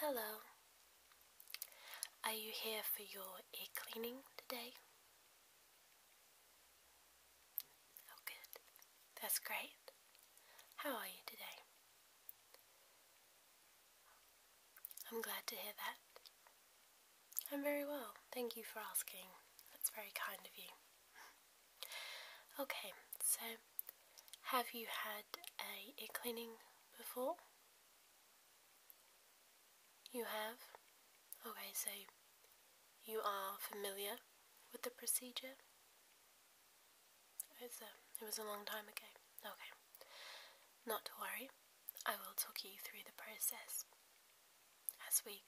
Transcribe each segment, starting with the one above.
Hello. Are you here for your ear cleaning today? Oh, good. That's great. How are you today? I'm glad to hear that. I'm very well. Thank you for asking. That's very kind of you. okay, so have you had a ear cleaning before? You have? Okay, so you are familiar with the procedure? Uh, it was a long time ago. Okay. Not to worry. I will talk you through the process as we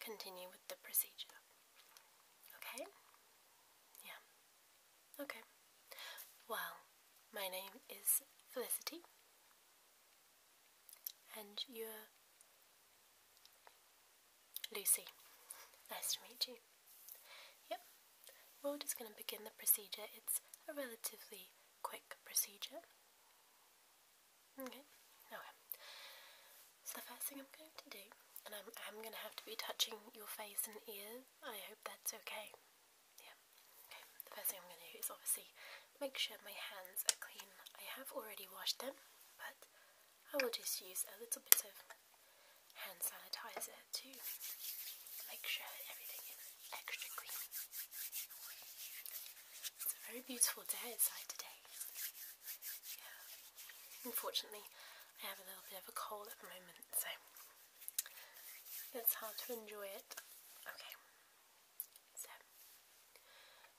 continue with the procedure. Okay? Yeah. Okay. Well, my name is Felicity. And you're Lucy, nice to meet you. Yep, we're just going to begin the procedure. It's a relatively quick procedure. Okay, okay. So the first thing I'm going to do, and I'm, going to have to be touching your face and ears, I hope that's okay. Yeah, okay. The first thing I'm going to do is obviously make sure my hands are clean. I have already washed them, but I will just use a little bit of hand sanitizer to make sure that everything is extra clean. It's a very beautiful day outside today. Unfortunately, I have a little bit of a cold at the moment, so it's hard to enjoy it. Okay, so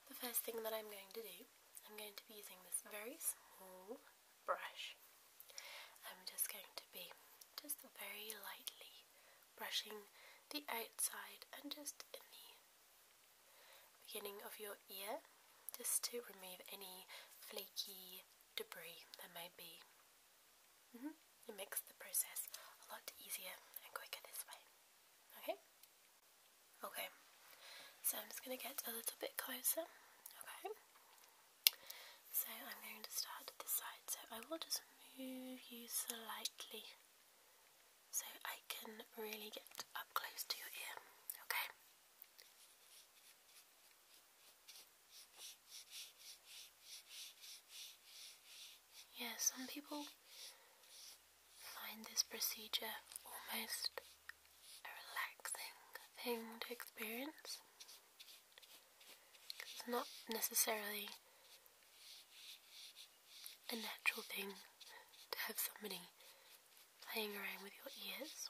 the first thing that I'm going to do I'm going to be using this very small brush. I'm just going to be just very lightly brushing the outside and just in the beginning of your ear just to remove any flaky debris that may be. Mm-hmm. It makes the process a lot easier and quicker this way. Okay? Okay, so I'm just going to get a little bit closer. Okay, so I'm going to start at this side. So I will just move you slightly so I can really get up close to your ear. Okay. Yeah, some people find this procedure almost a relaxing thing to experience. It's not necessarily a natural thing to have somebody playing around with your ears.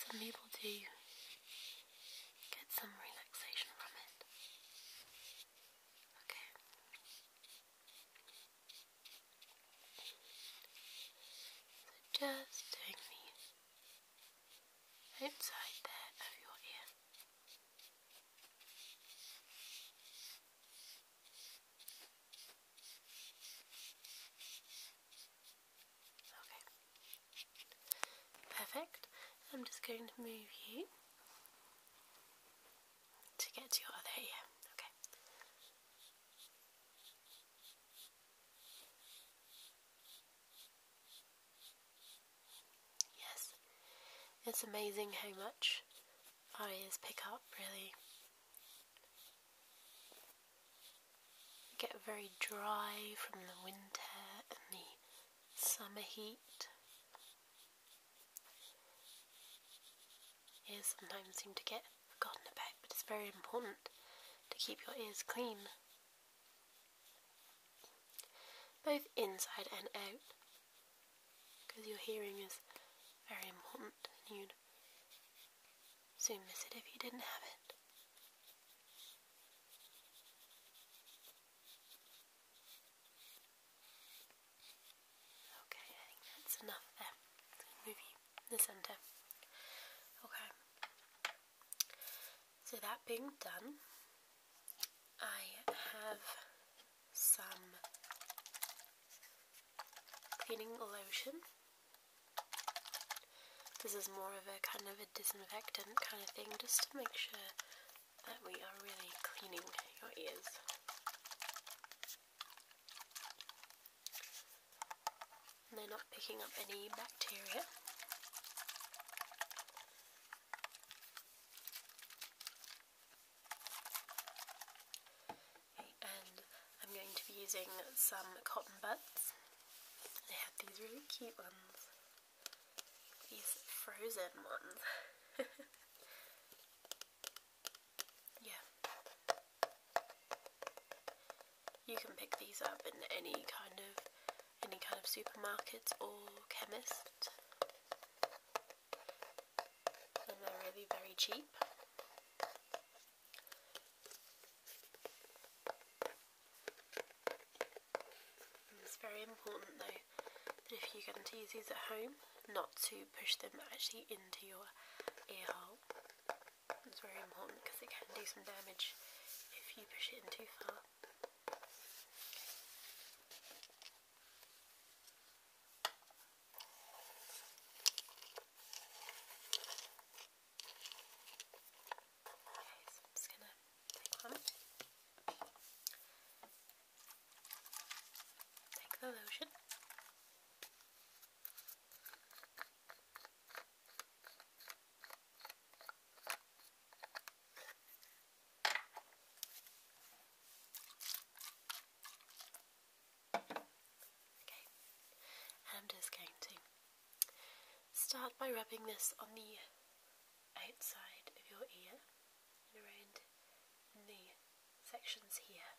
Some people do get some relaxation from it. Okay just doing these inside there of your ear. Okay. Perfect. I'm just going to move you to get to your other ear. Okay. Yes, it's amazing how much our ears pick up, really. get very dry from the winter and the summer heat ears sometimes seem to get forgotten about, but it's very important to keep your ears clean, both inside and out, because your hearing is very important and you'd soon miss it if you didn't have it. Okay, I think that's enough there. Move the centre. Okay. So that being done, I have some cleaning lotion. This is more of a kind of a disinfectant kind of thing, just to make sure that we are really cleaning your ears. And they're not picking up any bacteria. and I'm going to be using some cotton buds. They have these really cute ones. These frozen ones. Yeah. You can pick these up in any kind of any kind of supermarket or chemist. And they're really very cheap. it's very important though that if you're going to use these at home not to push them actually into your ear hole. It's very important because it can do some damage if you push it in too far. Okay, so I'm just gonna take one. Take the lotion. I'm just going to start by rubbing this on the outside of your ear around the sections here.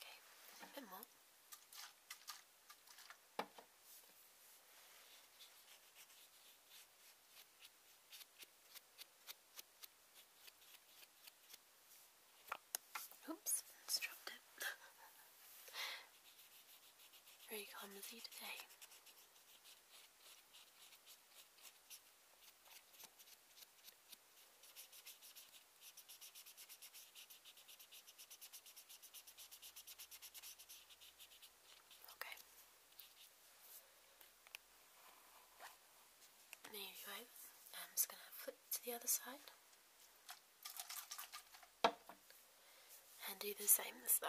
Okay, a bit more. Oops, dropped it. Very clumsy today. Okay. There you go. I'm just going to flip to the other side. And do the same this side.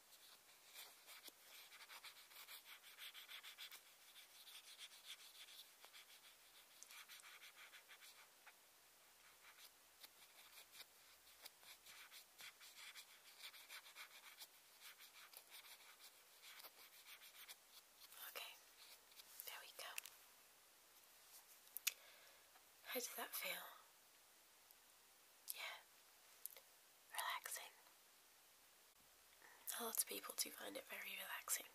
Okay, there we go. How does that feel? Yeah, relaxing. A lot of people do find it very relaxing.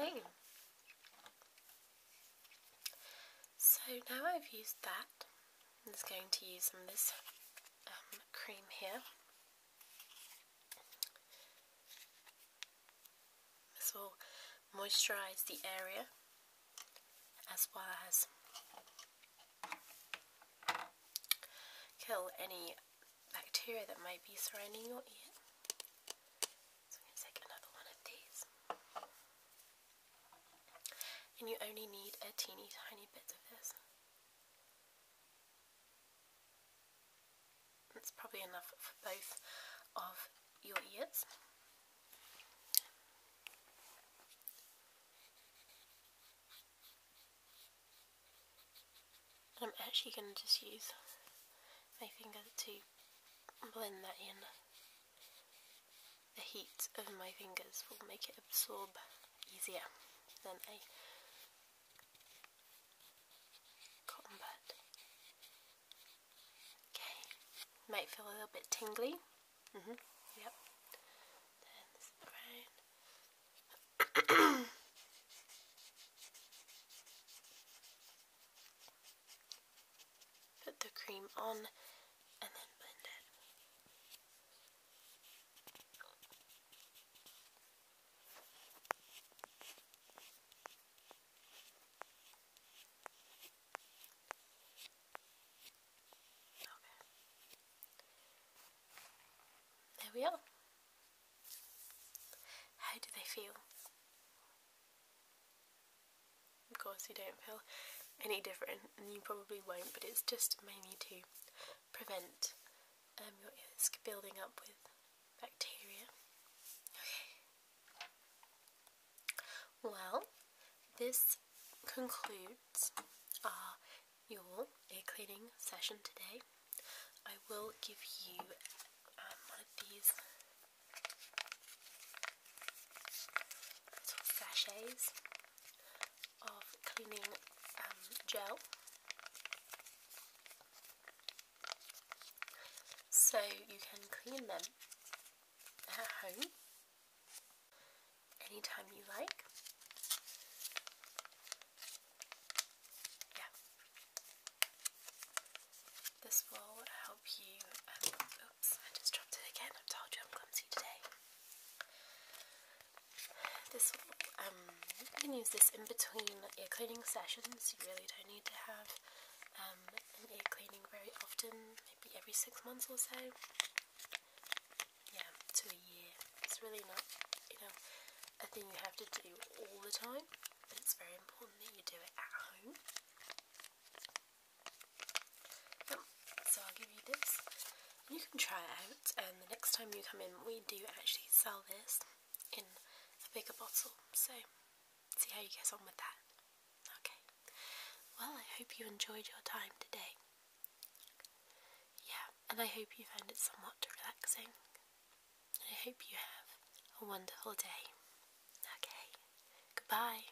Okay. So now I've used that, I'm just going to use some of this um, cream here. This will moisturise the area as well as kill any bacteria that may be surrounding your ear. So I'm going to take another one of these. And you only need a teeny tiny bit of this. That's probably enough for both of your ears. I'm actually going to just use my finger to blend that in the heat of my fingers will make it absorb easier than a cotton bud. Okay, might feel a little bit tingly. -hmm. Yep. Turn this around. Put the cream on and then blend it. There we are. How do they feel? of course you don't feel any different and you probably won't but it's just mainly to prevent um, your ears building up with bacteria. Okay. Well, this concludes our your ear cleaning session today. I will give you um, one of these little sachets of cleaning um, gel. So you can clean them at home anytime you like. Yeah. This will help you um, I just dropped it again. I've told you I'm clumsy today. This, um, you can use this in between ear cleaning sessions. You really don't need to have um, an ear cleaning very often, maybe every six months or so. Yeah, to a year. It's really not, you know, a thing you have to do all the time, but it's very important that you do it at home so I'll give you this. You can try it out and the next time you come in we do actually sell this in a bigger bottle. So see how you get on with that. Okay. Well I hope you enjoyed your time today. Yeah, and I hope you found it somewhat relaxing. I hope you have a wonderful day. Okay, goodbye.